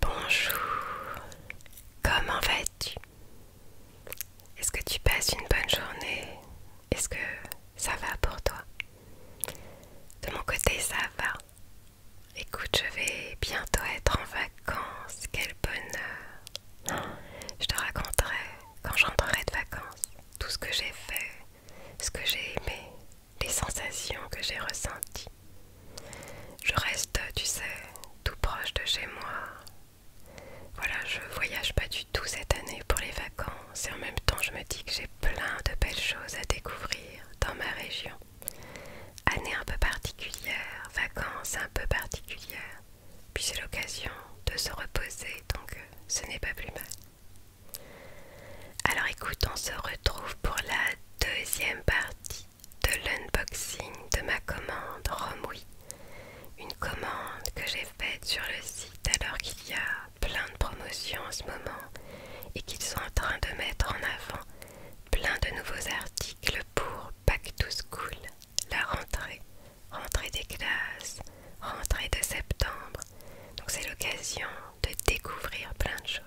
Bonjour, comment vas-tu Est-ce que tu passes une bonne journée Est-ce que ça va pour toi De mon côté, ça va. Écoute, je vais bientôt être en vacances, quel bonheur Je te raconterai quand j'entrerai de vacances tout ce que j'ai fait, ce que j'ai aimé, les sensations que j'ai ressenties. Je reste, tu sais, tout proche de chez moi. Voilà, je voyage pas du tout cette année pour les vacances et en même temps je me dis que j'ai plein de belles choses à découvrir dans ma région. Année un peu particulière, vacances un peu particulières, puis c'est l'occasion de se reposer donc euh, ce n'est pas plus mal. Alors écoute, on se retrouve pour la deuxième partie de l'unboxing de ma commande Romwe Une commande que j'ai faite sur le site alors qu'il y a plein de promotions en ce moment et qu'ils sont en train de mettre en avant plein de nouveaux articles pour Back to School, la rentrée, rentrée des classes, rentrée de septembre. Donc c'est l'occasion de découvrir plein de choses.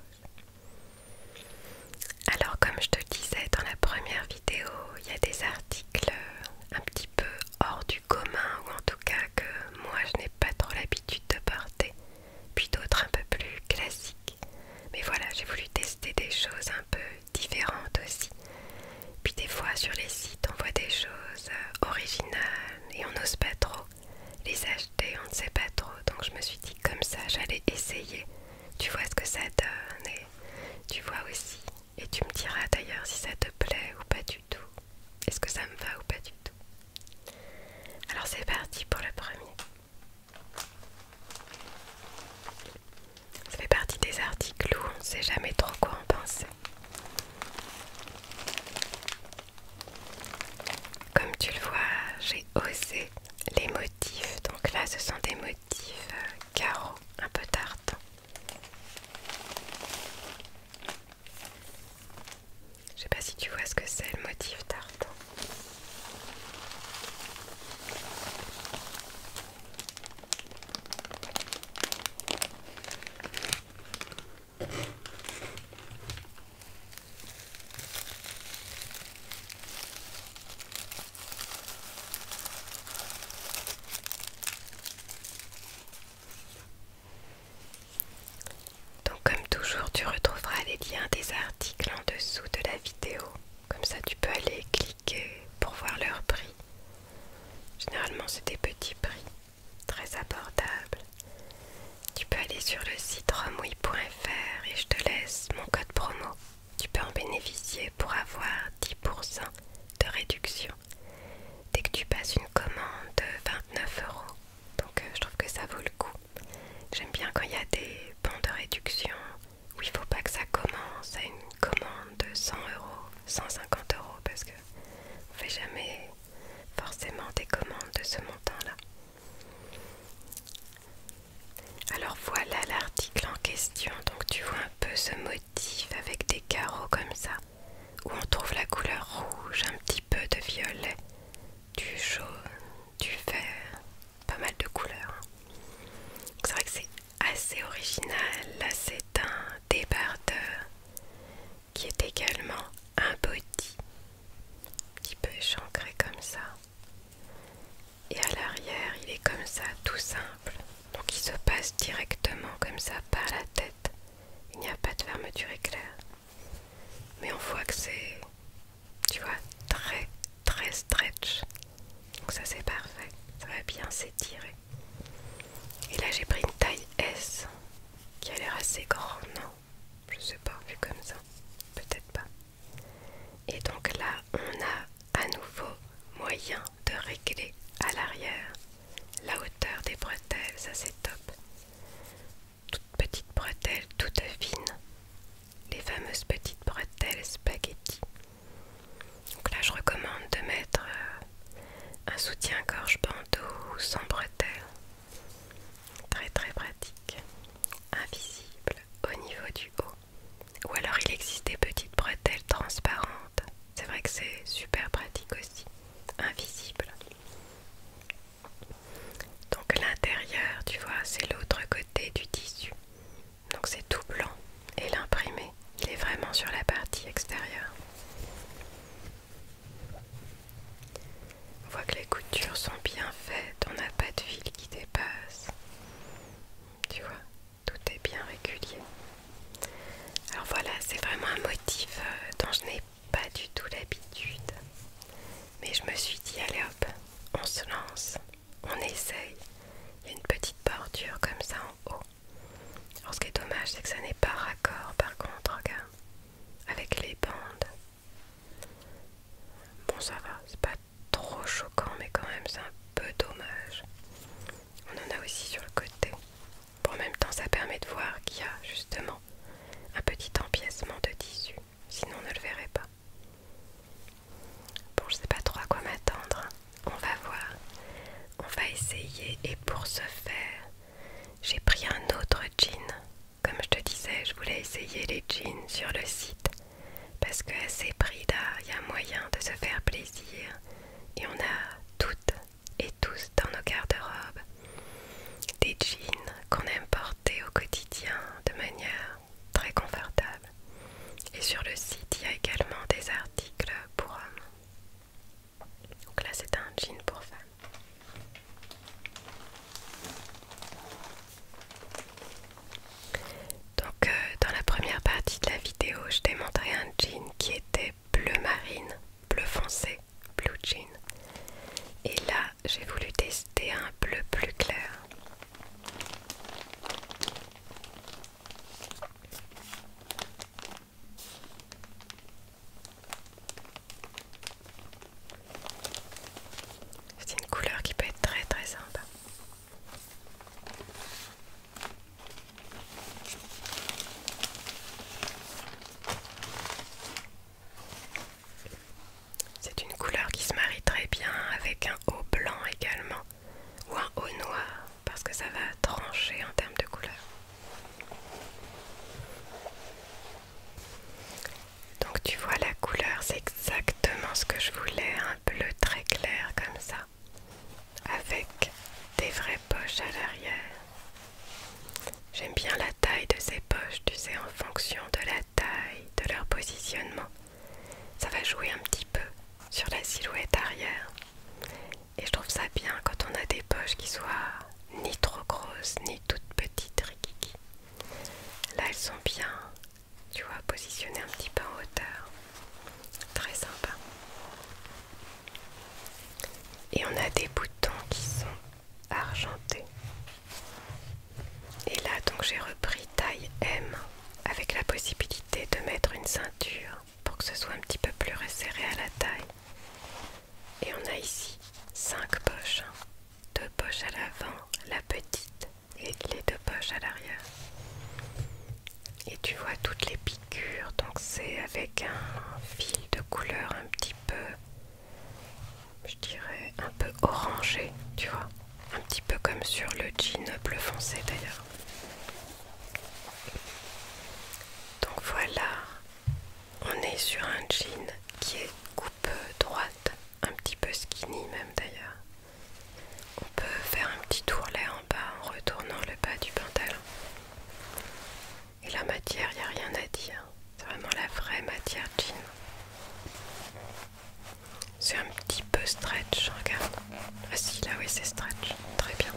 Alors comme je te disais dans la première vidéo, il y a des articles un petit peu hors du commun ou en tout cas que moi je n'ai pas trop l'habitude de porter, puis d'autres un peu plus classiques. Mais voilà, j'ai voulu tester des choses un peu différentes aussi. Puis des fois sur les sites on voit des choses euh, originales et on n'ose pas trop. Les acheter, on ne sait pas trop, donc je me suis dit comme ça, j'allais essayer. Tu vois ce que ça donne et tu vois aussi. Et tu me diras d'ailleurs si ça te plaît ou pas du tout. Est-ce que ça me va ou pas du tout Alors c'est parti pour le premier. Ça fait partie des articles où on ne sait jamais trop quoi en penser. Comme tu le vois, j'ai osé les motifs. Donc là, ce sont des motifs euh, carreaux, un peu tarte. Je sais pas si tu vois ce que c'est le motif tartan. Donc comme toujours tu retrouveras les liens des articles en dessous de la vidéo. Comme ça tu peux aller cliquer pour voir leur prix. Généralement c'est des petits prix, très abordables. Tu peux aller sur le site romouille.fr et je te laisse mon code promo. Tu peux en bénéficier pour avoir 10% de réduction dès que tu passes une commande de 29 euros. Donc euh, je trouve que ça vaut le coup. J'aime bien quand il y a des bons de réduction où il ne faut pas que ça commence à une commande de 100 euros, 150 euros parce que on fait jamais forcément des commandes de ce montant-là. Alors voilà l'article en question, donc tu vois un peu ce motif avec des carreaux comme ça, où on trouve la couleur rouge, un petit peu de violet, du jaune, du vert, pas mal de couleurs. C'est vrai que c'est assez original, assez c'est un débardeur qui est également un body, un petit peu échancré comme ça. Et à l'arrière, il est comme ça, tout simple. Donc il se passe directement comme ça par la tête. Il n'y a pas de fermeture éclair. Mais on voit que c'est, tu vois, très très stretch. Donc ça c'est parfait. Ça va bien s'étirer. Et là j'ai pris une taille S qui a l'air assez grande. Hein je sais pas, vu comme ça. Peut-être pas. Et donc là, on a à nouveau moyen de régler à l'arrière la hauteur des bretelles, ça c'est top. Toutes petites bretelles, toutes fines. Les fameuses petites bretelles spaghetti. Donc là, je recommande de mettre euh, un soutien-gorge bandeau sans bretelles. Très très pratique. Invisible au niveau du haut. Ou alors il existe des petites bretelles transparentes. C'est vrai que c'est super pratique aussi. Invisible. Donc l'intérieur, tu vois, c'est l'autre côté du tissu. Donc c'est tout blanc. Et l'imprimé, il est vraiment sur la partie extérieure. On voit que les coutures sont bien faites, on n'a pas de fil qui dépasse. Tu vois, tout est bien régulier. Alors voilà, c'est vraiment un motif euh, dont je n'ai pas du tout l'habitude. Mais je me suis dit, allez hop, on se lance, on essaye. Il y a une petite bordure comme ça en haut. Alors ce qui est dommage, c'est que ça n'est pas raccord par contre, regarde, avec les bandes. Bon ça va, c'est pas trop choquant mais quand même c'est un peu dommage. On en a aussi sur le côté. Bon, en même temps ça permet de voir qu'il y a justement un petit empiècement de tissu, sinon on ne le verrait pas. Bon, je sais pas trop à quoi m'attendre. Hein. On va voir. On va essayer et pour ce faire, j'ai pris un autre jean comme je te disais, je voulais essayer les jeans sur le site parce que ces prix-là, il y a moyen de se faire plaisir et on a toutes et tous dans nos garde-robes des jeans qu'on aime porter au quotidien de manière très confortable. Et sur le site, il y a également des articles pour hommes. Donc là, c'est un jean pour femmes. Donc euh, dans la première partie de la vidéo, je t'ai montré un jean qui était bleu marine, bleu foncé, blue jean. Et là, j'ai voulu tester un bleu plus clair. C'est une couleur qui peut être très très sympa. C'est une couleur qui se marie très bien avec un haut blanc également ou un haut noir parce que ça va trancher en termes de couleur. Donc tu vois la couleur, c'est exactement ce que je voulais, un bleu très clair comme ça, avec des vraies poches à l'arrière. J'aime bien la taille de ces poches, tu sais, en fonction de la taille, de leur positionnement. Ça va jouer un petit peu sur la silhouette arrière. Et je trouve ça bien quand on a des poches qui soient ni trop grosses, ni toute petite rikiki. Là, elles sont bien, tu vois, positionnées un petit peu en hauteur. Très sympa. Et on a des boutons qui sont argentés. Et là, donc, j'ai repris taille M avec la possibilité de mettre une ceinture pour que ce soit un petit peu plus resserré à la taille. Et on a ici 5 poches. Hein. Deux poches à l'avant, la petite et les deux poches à l'arrière. Et tu vois toutes les piqûres, donc c'est avec un fil de couleur un petit peu, je dirais un peu orangé, tu vois. Un petit peu comme sur le jean bleu foncé d'ailleurs. Donc voilà on est sur un jean qui est coupe droite, un petit peu skinny même d'ailleurs. On peut faire un petit tourlet en bas en retournant le bas du pantalon. Et la matière, il n'y a rien à dire. C'est vraiment la vraie matière jean. C'est un petit peu stretch, regarde. Ah si, là oui, c'est stretch. Très bien.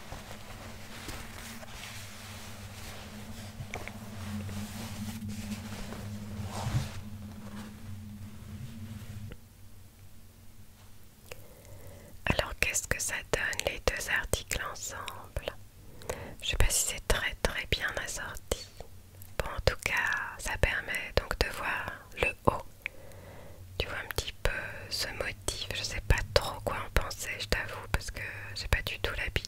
Alors qu'est-ce que ça donne les deux articles ensemble Je sais pas si c'est très très bien assorti. Bon en tout cas ça permet donc de voir le haut. Tu vois un petit peu ce motif. Je sais pas trop quoi en penser je t'avoue parce que j'ai pas du tout l'habitude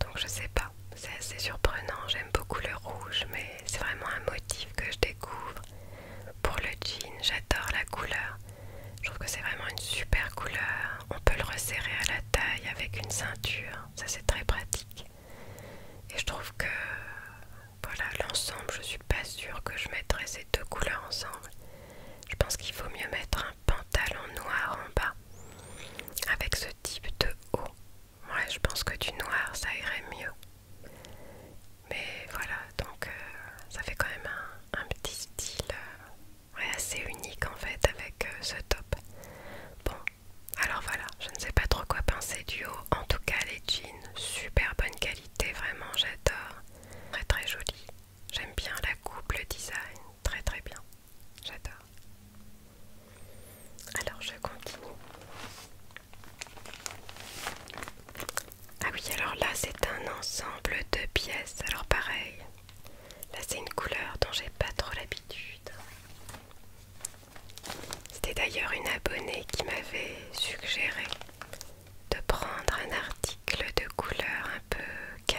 donc je sais pas, c'est assez surprenant. J'aime beaucoup le rouge, mais c'est vraiment un motif que je découvre. Pour le jean, j'adore la couleur. Je trouve que c'est vraiment une super couleur. On peut le resserrer à la taille avec une ceinture, ça c'est très pratique. Et je trouve que voilà l'ensemble, je suis pas sûre que je mettrais ces deux couleurs ensemble. Je pense qu'il faut mieux mettre un pantalon noir en bas avec ce type de haut. Ouais, je pense que du noir ça irait mieux. Mais voilà, donc euh, ça fait quand même un, petit style euh, assez unique en fait avec euh, ce top. Bon, alors voilà, je ne sais pas trop quoi penser du haut. En tout cas, les jeans, super bonne qualité, vraiment j'adore. Très très joli. J'aime bien la coupe, le design, très très bien. J'adore. Alors je continue. Ah oui, alors là c'est un ensemble de pièces. Alors pareil, là c'est une couleur dont j'ai pas trop l'habitude. C'était d'ailleurs une abonnée qui m'avait suggéré de prendre un article de couleur un peu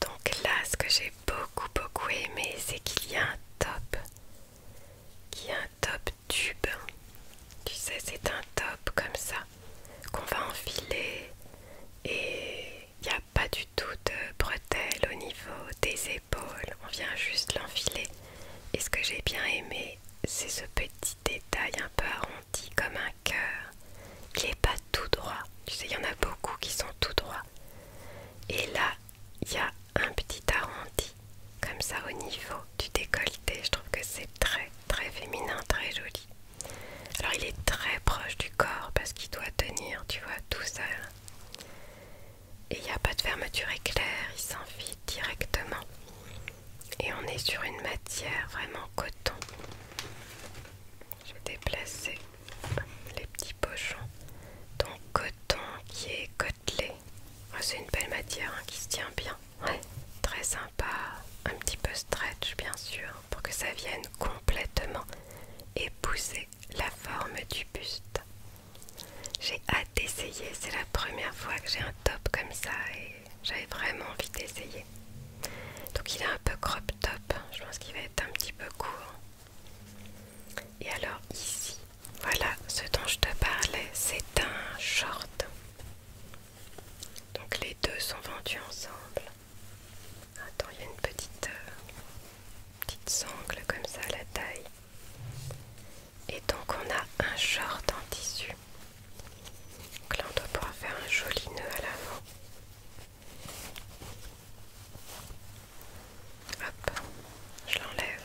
Donc là, ce que j'ai beaucoup beaucoup aimé, c'est qu'il y a un top, qui est un top tube. Tu sais, c'est un top comme ça qu'on va enfiler et il n'y a pas du tout de bretelles au niveau des épaules. On vient juste l'enfiler. Et ce que j'ai bien aimé, c'est ce petit détail un peu arrondi comme un cœur qui n'est pas tout droit. Tu sais, il y en a beaucoup qui sont tout droits. Et là, il y a un petit arrondi comme ça au niveau du décolleté. Je trouve que c'est très très féminin, très joli. Alors il est très proche du corps parce qu'il doit tenir, tu vois, tout seul. Et il n'y a pas de fermeture éclair, il s'enfile directement et on est sur une matière vraiment coton. Je vais les petits pochons. Donc coton qui est côtelé. Oh, c'est une belle matière hein, qui se tient bien. très sympa. Un petit peu stretch bien sûr pour que ça vienne complètement épouser la forme du buste. J'ai hâte d'essayer, c'est la première fois que j'ai un top comme ça j'avais vraiment envie d'essayer. Donc il est un peu crop top. Je pense qu'il va être un petit peu court. Et alors ici, voilà ce dont je te parlais. C'est un short. Donc les deux sont vendus ensemble. Attends, il y a une petite, euh, petite sangle comme ça à la taille. Et donc on a un short en tissu. Donc là on doit pouvoir faire un joli nœud à l'avant. Hop, je l'enlève.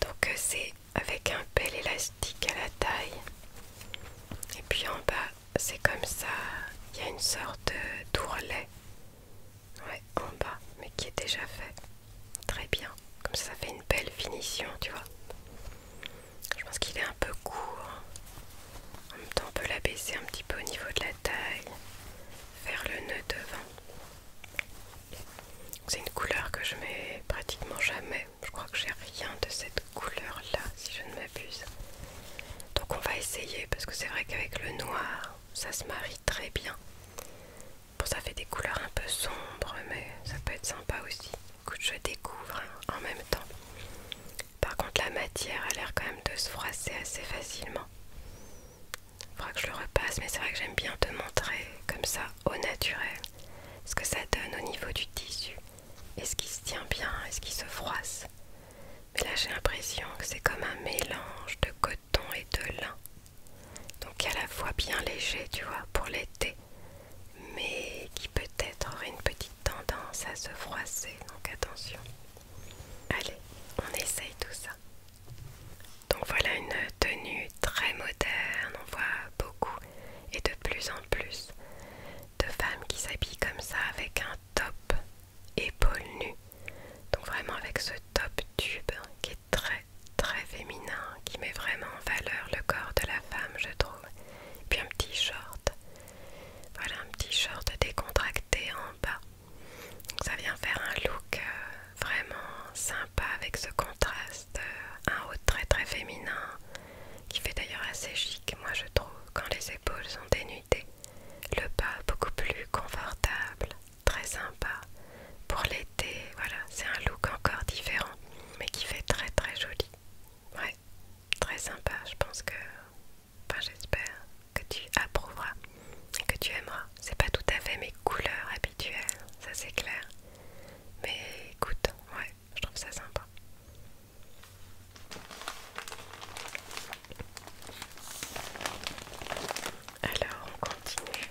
Donc euh, c'est avec un bel élastique à la taille. Et puis en bas, c'est comme ça, il y a une sorte d'ourlet. en bas, mais qui est déjà fait. Très bien. Comme ça, ça fait une belle finition, tu vois. Je pense qu'il est un peu court. En même temps, on peut l'abaisser un petit peu au niveau de la taille. Faire le nœud devant. C'est une couleur que je mets pratiquement jamais. Je crois que j'ai rien de cette couleur-là, si je ne m'abuse. Donc on va essayer, parce que c'est vrai qu'avec le noir, ça se marie très bien. Bon, ça fait des couleurs un peu sombres, mais ça peut être sympa aussi. Écoute, je découvre hein, en même temps. Par contre, la matière a l'air quand même de se froisser assez facilement. Il faudra que je le repasse, mais c'est vrai que j'aime bien te montrer comme ça, au naturel, ce que ça donne au niveau du tissu. Est-ce qu'il se tient bien Est-ce qu'il se froisse Mais là, j'ai l'impression que c'est comme un mélange de coton et de lin. Donc il y a la fois bien léger, tu vois, pour l'été, mais qui peut-être aurait une petite tendance à se froisser, donc attention. Allez, on essaye tout ça. Donc voilà une tenue très moderne, on voit beaucoup et de plus en plus de femmes qui s'habillent comme ça avec un top épaule nue. Donc vraiment avec ce top tube qui est très très, féminin qui met vraiment en valeur le corps de la femme, je trouve. puis un petit short. Voilà un petit short décontracté en bas. ça vient faire un look euh, vraiment sympa avec ce contraste. Euh, un haut très très féminin qui fait d'ailleurs assez chic, moi je trouve, quand les épaules sont dénudées. Le bas beaucoup plus confortable, très sympa pour l'été. Voilà, c'est un look encore différent, mais qui fait très très joli. Ouais, très sympa. Je pense que, enfin j'espère que tu approuveras, et que tu aimeras. C'est pas tout à fait mes couleurs habituelles, ça c'est clair. Mais écoute, ouais, je trouve ça sympa. Alors on continue.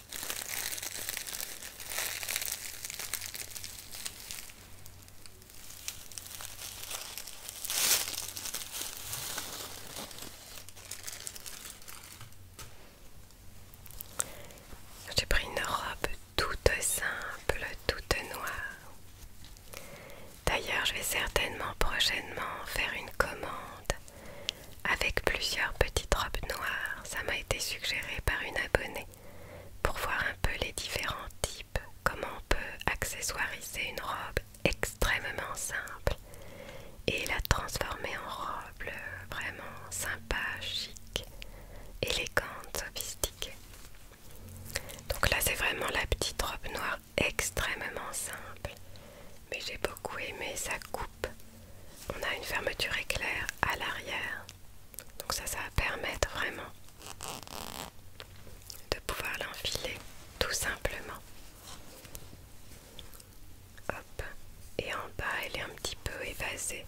J'ai pris une robe toute simple, toute noire. D'ailleurs, je vais certainement prochainement faire une commande avec plusieurs petites robes noires ça m'a été suggéré par une abonnée pour voir un peu les différents types, comment on peut accessoiriser une robe extrêmement simple et la transformer en robe euh, vraiment sympa, chic, élégante, sophistiquée. Donc là c'est vraiment la petite robe noire extrêmement simple, mais j'ai beaucoup aimé sa coupe on a une fermeture éclair à l'arrière. Donc ça, ça va permettre vraiment de pouvoir l'enfiler tout simplement. Et en bas, elle est un petit peu évasée.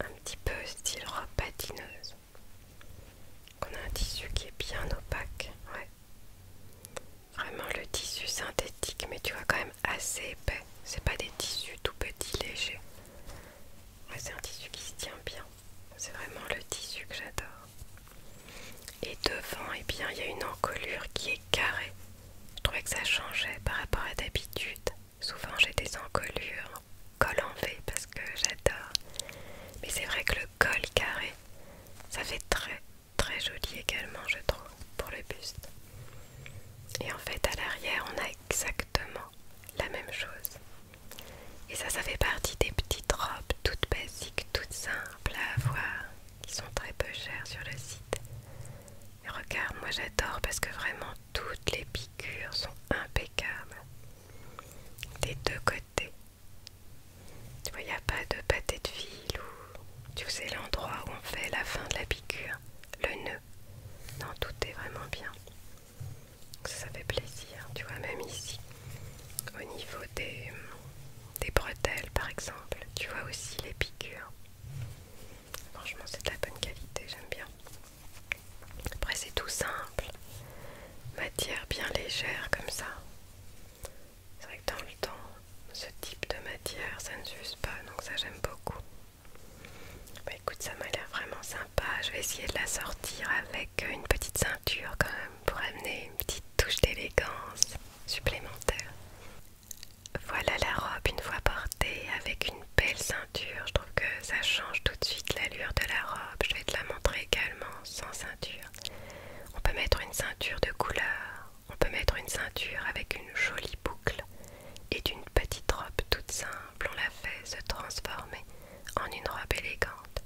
Un petit peu style robe patineuse. On a un tissu qui est bien opaque. Vraiment le tissu synthétique, mais tu vois quand même assez épais. C'est pas des tissus tout petits, légers. c'est un tissu qui se tient bien. C'est vraiment le tissu que j'adore. Et devant, Et eh bien, il y a une encolure qui est carrée. Je trouvais que ça changeait par rapport à d'habitude. Souvent, j'ai des encolures col en V parce que j'adore. Mais c'est vrai que le col carré, ça fait très très joli également, je trouve, pour le buste. Et en fait, à l'arrière, on a exactement la même chose. Et ça, ça fait partie des petites robes toutes basiques, toutes simples à avoir, qui sont très peu chères sur le site. Et regarde, moi j'adore parce que vraiment toutes les piqûres sont impeccables. Des deux côtés. Tu vois, il n'y a pas de pâté de fil ou... Tu sais l'endroit où on fait la fin de la piqûre, le nœud. Non, tout est vraiment bien. Ça fait plaisir, tu vois, même ici, au niveau des, bretelles par exemple, tu vois aussi les piqûres. Franchement, c'est de la bonne qualité, j'aime bien. Après, c'est tout simple, matière bien légère comme ça. C'est vrai que dans le temps, ce type de matière, ça ne s'use pas, donc ça j'aime beaucoup. Bah écoute, ça m'a l'air vraiment sympa. Je vais essayer de la sortir avec une petite ceinture quand même pour amener une petite touche d'élégance supplémentaire. Voilà la robe une fois portée avec une belle ceinture. Je trouve que ça change tout de suite l'allure de la robe. Je vais te la montrer également sans ceinture. On peut mettre une ceinture de couleur on peut mettre une ceinture avec une jolie boucle et d'une petite robe toute simple, on la fait se transformer en une robe élégante.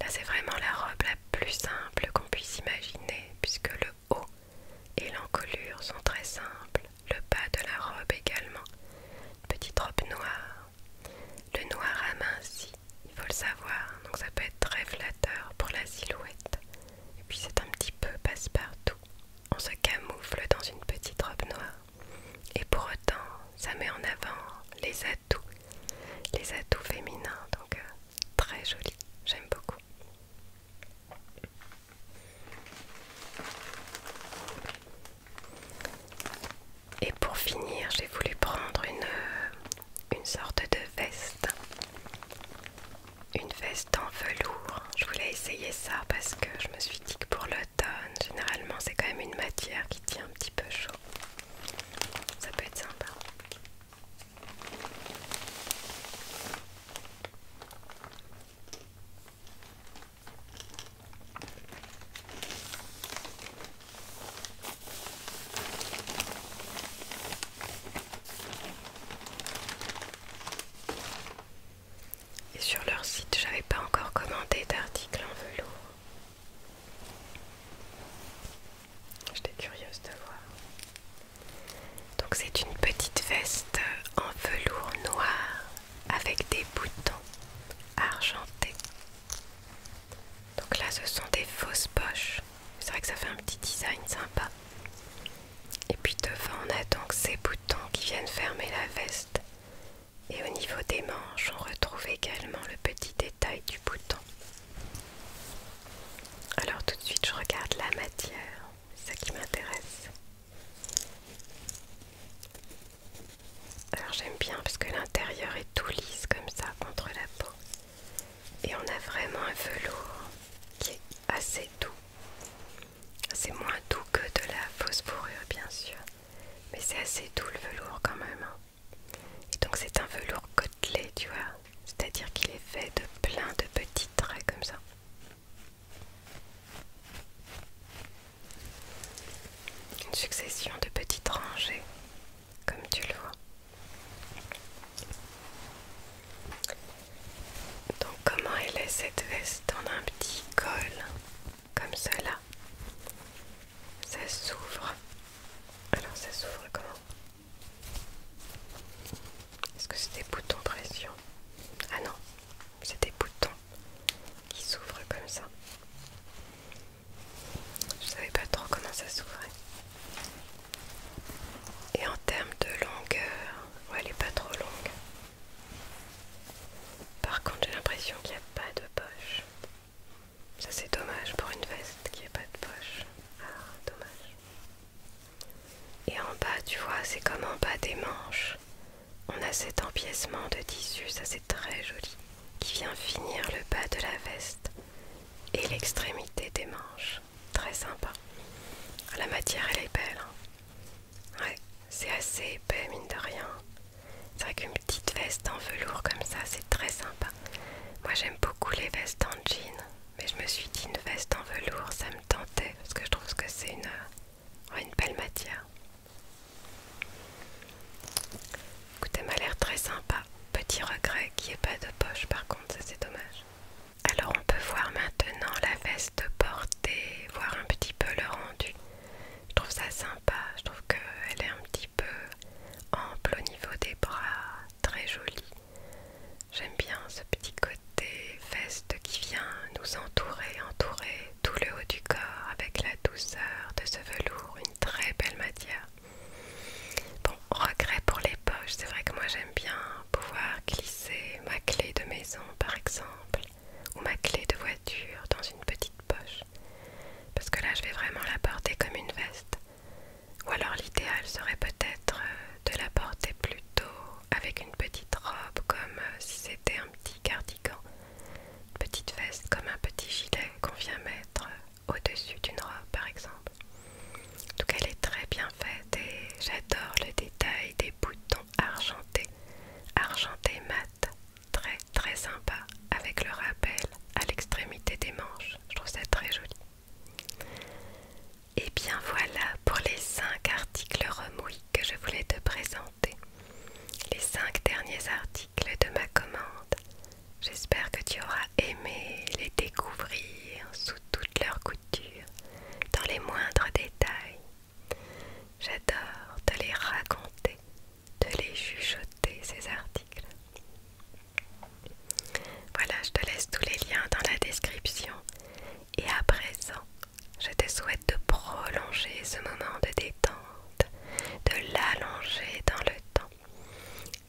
Là, c'est vraiment la robe la plus simple qu'on puisse imaginer puisque le haut et l'encolure sont très simples, le bas de la robe également. petite robe noire. Le noir aminci, il faut le savoir, donc ça peut être très flatteur pour la silhouette. Et puis c'est un petit peu passe-partout. On se camoufle dans une petite robe noire. Et pour autant, ça met en avant les atouts. Les atouts féminins, donc euh, très joli. J'aime beaucoup. Et pour finir, j'ai voulu prendre une, euh, une sorte de veste une veste en velours. Je voulais essayer ça parce que je me suis dit que pour l'automne, généralement, c'est quand même une matière qui tient un petit peu chaud. Ça peut être sympa. Et sur leur site, j'avais pas encore commandé d'article en velours. J'étais curieuse de voir. Donc c'est une petite veste en velours noir avec des boutons argentés. Donc là ce sont des fausses poches. C'est vrai que ça fait un petit design sympa. Et puis devant, on a donc ces boutons qui viennent fermer la veste. Et au niveau des manches, on retrouve également le petit détail du bouton. Alors tout de suite, je regarde la matière, c'est ça qui m'intéresse. Alors j'aime bien parce que l'intérieur est tout lisse comme ça contre la peau. Et on a vraiment un velours qui est assez doux. C'est moins doux que de la fausse fourrure bien sûr, mais c'est assez doux le velours quand même. Hein. donc c'est un velours côtelé, tu vois, c'est-à-dire qu'il est fait de plein de petits traits comme ça. Une succession de petites rangées, comme tu le vois. Donc comment elle est cette veste en un petit col comme cela Ça s'ouvre. Alors ça s'ouvre comment Est-ce que c'est des boutons pression Ah non, c'est des boutons qui s'ouvrent comme ça. Je savais pas trop comment ça s'ouvrait. Et en termes de longueur, elle est pas trop longue. Par contre, j'ai l'impression qu'il n'y a pas de poche. Ça, c'est dommage pour une veste qui n'a pas de poche. Ah, dommage. Et en bas, tu vois, c'est comme en bas des manches. On a cet empiècement de tissu, ça c'est très joli, qui vient finir le bas de la veste et l'extrémité des manches très sympa. La matière elle est belle. Hein. Ouais, c'est assez épais mine de rien. C'est vrai qu'une petite veste en velours comme ça, c'est très sympa. Moi j'aime beaucoup les vestes en jean, mais je me suis dit une veste en velours, ça me tentait parce que je trouve que c'est une, une belle matière. Écoutez, m'a l'air très sympa. Petit regret qu'il n'y ait pas de poche par contre, ça c'est dommage. Alors on peut voir maintenant la veste portée, voir un petit peu le rendu. Je trouve ça sympa, je trouve qu'elle est un petit peu ample au niveau des bras, très jolie. J'aime bien ce petit côté veste qui vient nous entourer, entourer tout le haut du corps avec la douceur de ce velours, une très belle matière regret pour les poches, c'est vrai que moi j'aime bien pouvoir glisser ma clé de maison par exemple, ou ma clé de voiture dans une petite poche, parce que là je vais vraiment la porter comme une veste. Ou alors l'idéal serait peut-être euh, de la porter plutôt avec une petite robe comme euh, si c'était un petit cardigan, petite veste comme un petit gilet qu'on vient mettre euh, au-dessus d'une robe par exemple. En elle est très bien faite et j'adore le détail des boutons argentés, argentés mat, très très sympa, avec le rappel à l'extrémité des manches. Je trouve ça très joli. Et bien voilà pour les 5 articles remouilles que je voulais te présenter. Les 5 derniers articles de ma commande. J'espère que tu auras aimé les découvrir sous toutes leurs coutures dans les moindres détails. J'adore te les raconter, de les chuchoter, ces articles. Voilà, je te laisse tous les liens dans la description. Et à présent, je te souhaite de prolonger ce moment de détente, de l'allonger dans le temps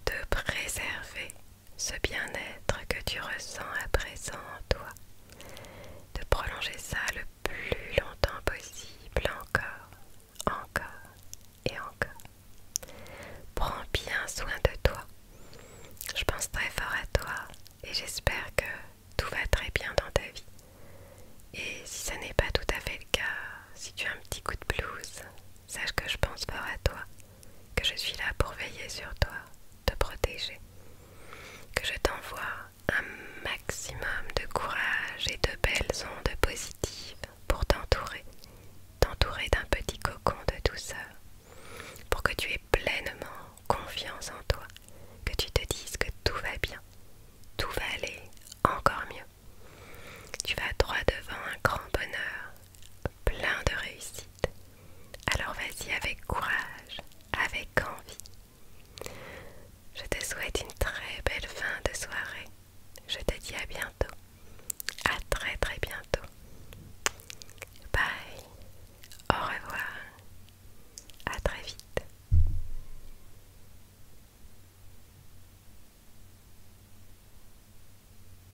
de préserver ce bien-être que tu ressens à présent en toi, de prolonger ça le plus longtemps possible, encore, encore et encore. Prends bien soin de toi. Je pense très fort à toi et j'espère que tout va très bien dans ta vie. Et si ça n'est pas tout à fait le cas, si tu as un petit coup de blues, Sache que je pense fort à toi, que je suis là pour veiller sur toi, te protéger, que je t'envoie un maximum de courage et de belles ondes positives pour t'entourer, t'entourer d'un petit cocon de douceur, pour que tu aies pleinement confiance en toi, que tu te dises que tout va bien, tout va aller encore mieux. Tu vas droit devant un grand bonheur, plein de réussite. Alors vas-y avec courage, avec envie. Je te souhaite une très belle fin de soirée. Je te dis à bientôt. À très très bientôt. Bye. Au revoir. À très vite.